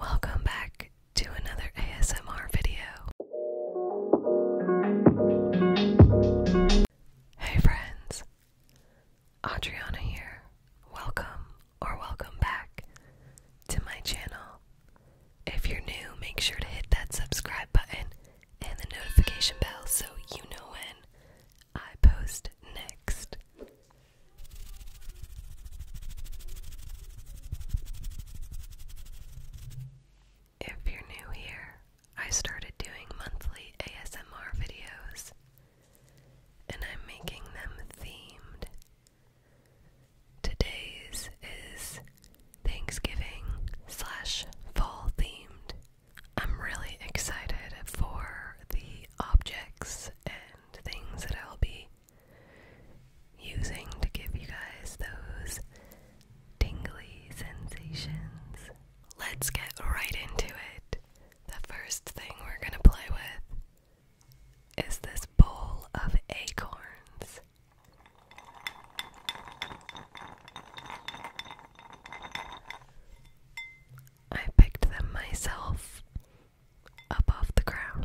Welcome back to another ASMR video. Hey friends, Adriana here. Welcome or welcome back to my channel. If you're new, make sure to hit that subscribe button and the notification bell so you know when I post next. If you're new here, I started doing monthly ASMR videos and I'm making them themed. Today's is Thanksgiving slash fall themed. I'm really excited for the objects and things that I'll be using to give you guys those tingly sensations. Let's get right into it. The first thing we're going to play with is this bowl of acorns. I picked them myself up off the ground.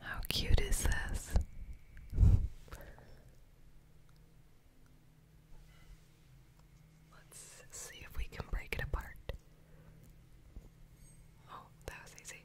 How cute is this? Let's see if we can break it apart. Oh, that was easy.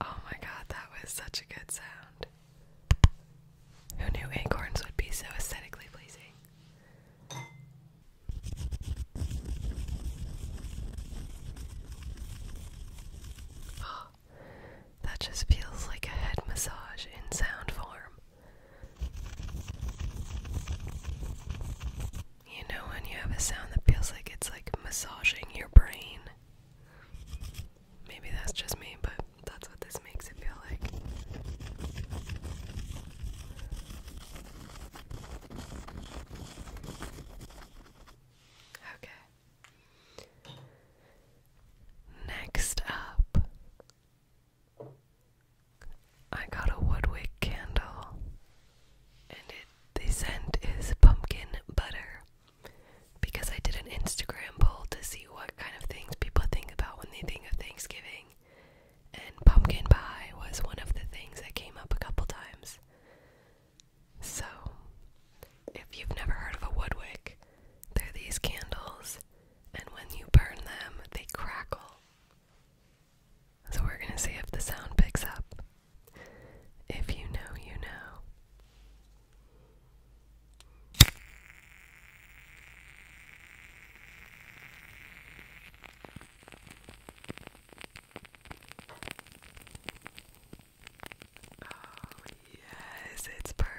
Oh my god, that was such a good sound. Who knew acorns would be so aesthetically pleasing? Oh, that just feels like a head massage in sound form. You know when you have a sound that feels like it's like massaging your brain? Maybe that's just me, but that's what this makes it feel like. Okay. Next up, I got a Woodwick candle and it the scent is pumpkin butter because I did an Instagram poll to see what kind of things people think about when they think of Thanksgiving. And pumpkin pie was one of the things that came up a couple times. So, if you've never heard of a woodwick, they're these candles, and when you burn them, they crackle. So we're going to see if the sound picks up. If you know, you know. Oh, yes, it's perfect.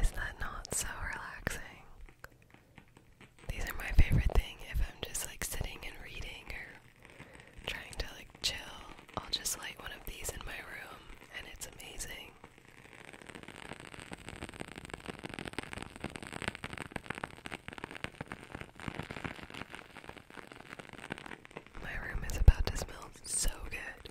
Is that not so relaxing? These are my favorite thing if I'm just like sitting and reading or trying to like chill. I'll just light one of these in my room and it's amazing. My room is about to smell so good.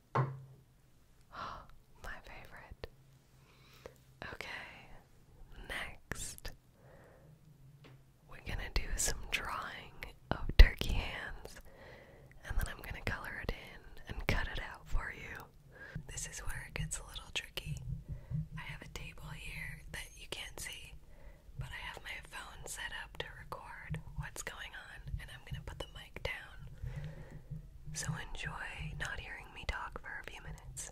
My favorite. Okay, next we're gonna do some drawing of turkey hands and then I'm gonna color it in and cut it out for you. This is where it gets a little tricky. I have a table here that you can't see, but I have my phone set up to record what's going on, and I'm gonna put the so enjoy not hearing me talk for a few minutes.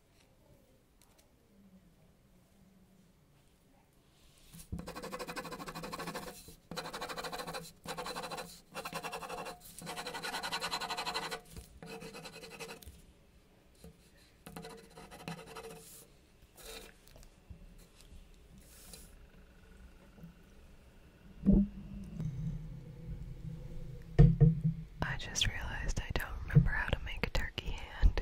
I just realized I don't remember how to make a turkey hand.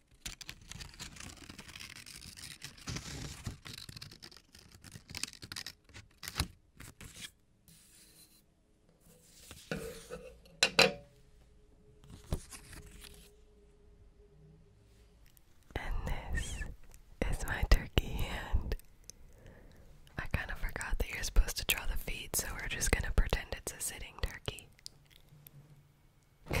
And this is my turkey hand. I kind of forgot that you're supposed to draw the feet, so we're just going to pretend it's a sitting turkey. the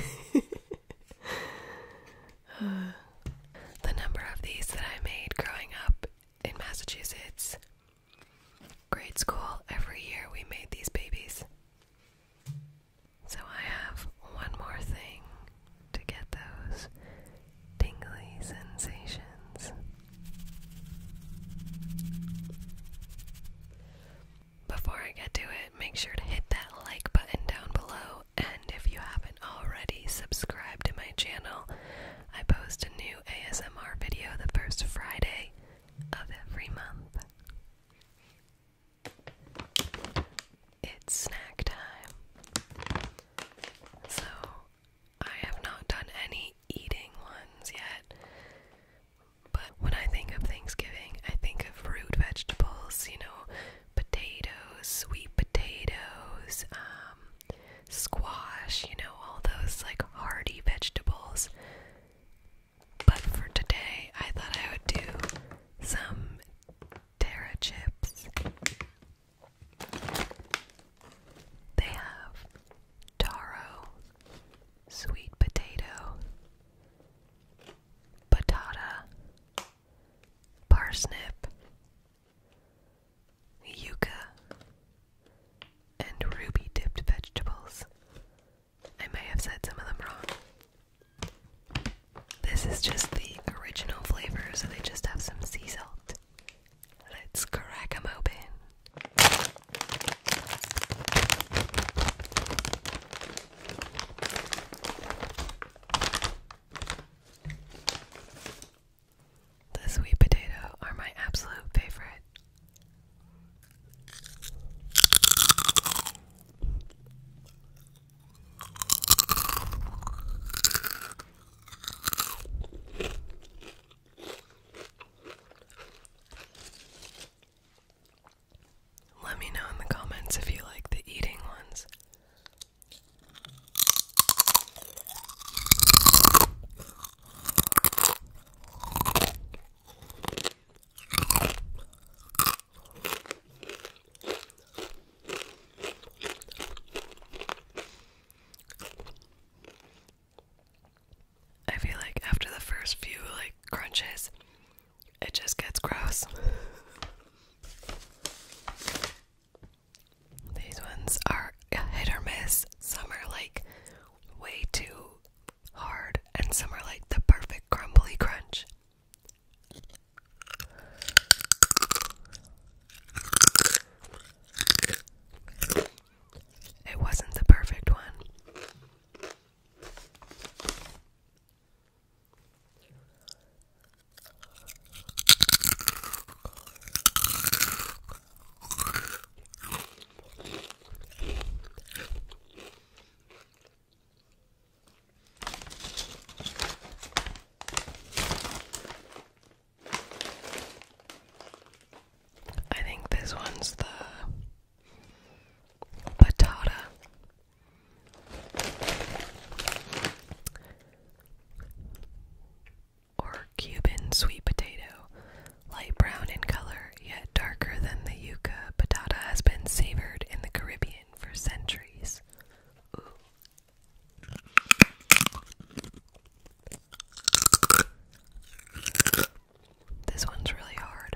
number of these that I made growing up in Massachusetts, grade school, every year we made these babies. So I have one more thing to get those tingly sensations. Before I get to it, make sure to hit that like button down below, and if you haven't already, subscribe to my channel. I post a new ASMR video the first Friday of every month. It's snack time. So, I have not done any eating ones yet. But when I think of Thanksgiving, I think of root vegetables, you know, potatoes, sweet potatoes, um, squash, you know, all those like hearty vegetables. But for today, I thought I would do some Terra chips. They have taro, sweet potato, patata, parsnip, yuca, and ruby dipped vegetables. I may have said some of them wrong. This is just the original flavor, so they just have some sea salt. Let's crack them open. The sweet potato are my absolute favorite. Let me know in the comments if you like the eating ones. I feel like after the first few like crunches, it just gets gross. These ones are hit or miss. Some are like way too hard, and some are like the perfect crumbly crunch. It wasn't the perfect one. I think this one's the Patata. Or Cuban sweet potato, light brown in color, yet darker than the yuca, patata has been savored in the Caribbean for centuries. This one's really hard.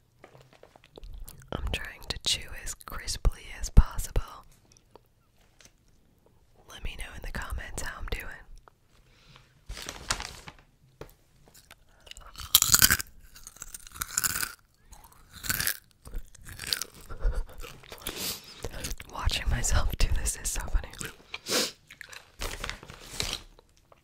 I'm trying to chew as crisply as possible. Let me know in the comments how I'm doing. Watching myself do this is so funny.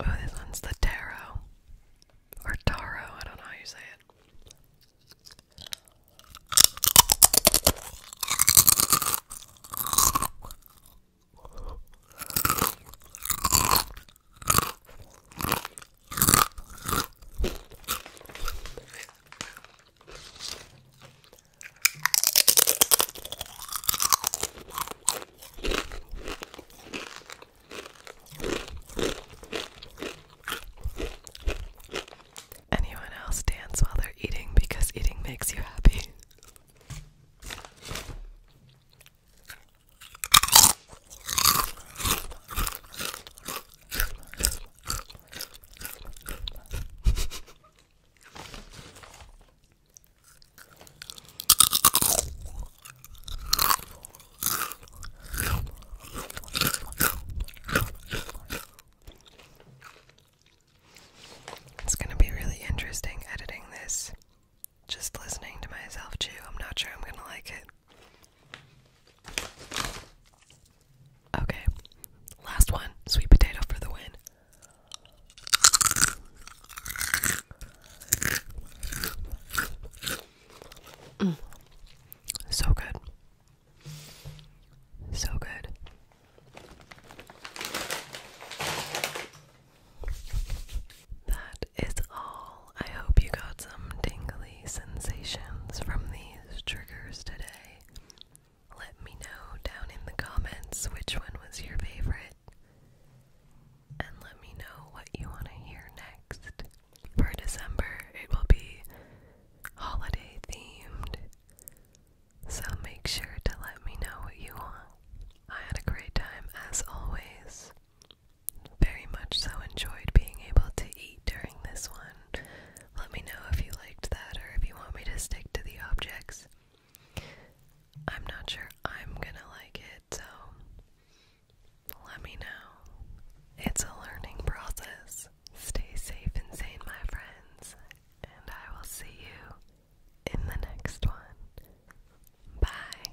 Oh, this one's the Taro. Or Taro, I don't know how you say it. Anyone else dance while they're eating because eating makes you happy? It's going to be really interesting editing this. Just listening to myself chew. I'm not sure I'm going to like it. Okay. Last one. Sweet potato for the win. Mm. So good. So good. That is all. I hope you got some tingly sensations from these triggers today. Let me know down in the comments which one was your favorite and let me know what you want to hear next. For December, it will be holiday themed, so make sure to let me know what you want. I had a great time as always. Very much so enjoyed being able to eat during this one. Let me know if you liked that or if you want me to stick to the objects. I'm not sure I'm gonna like it, so let me know. It's a learning process. Stay safe and sane, my friends, and I will see you in the next one. Bye.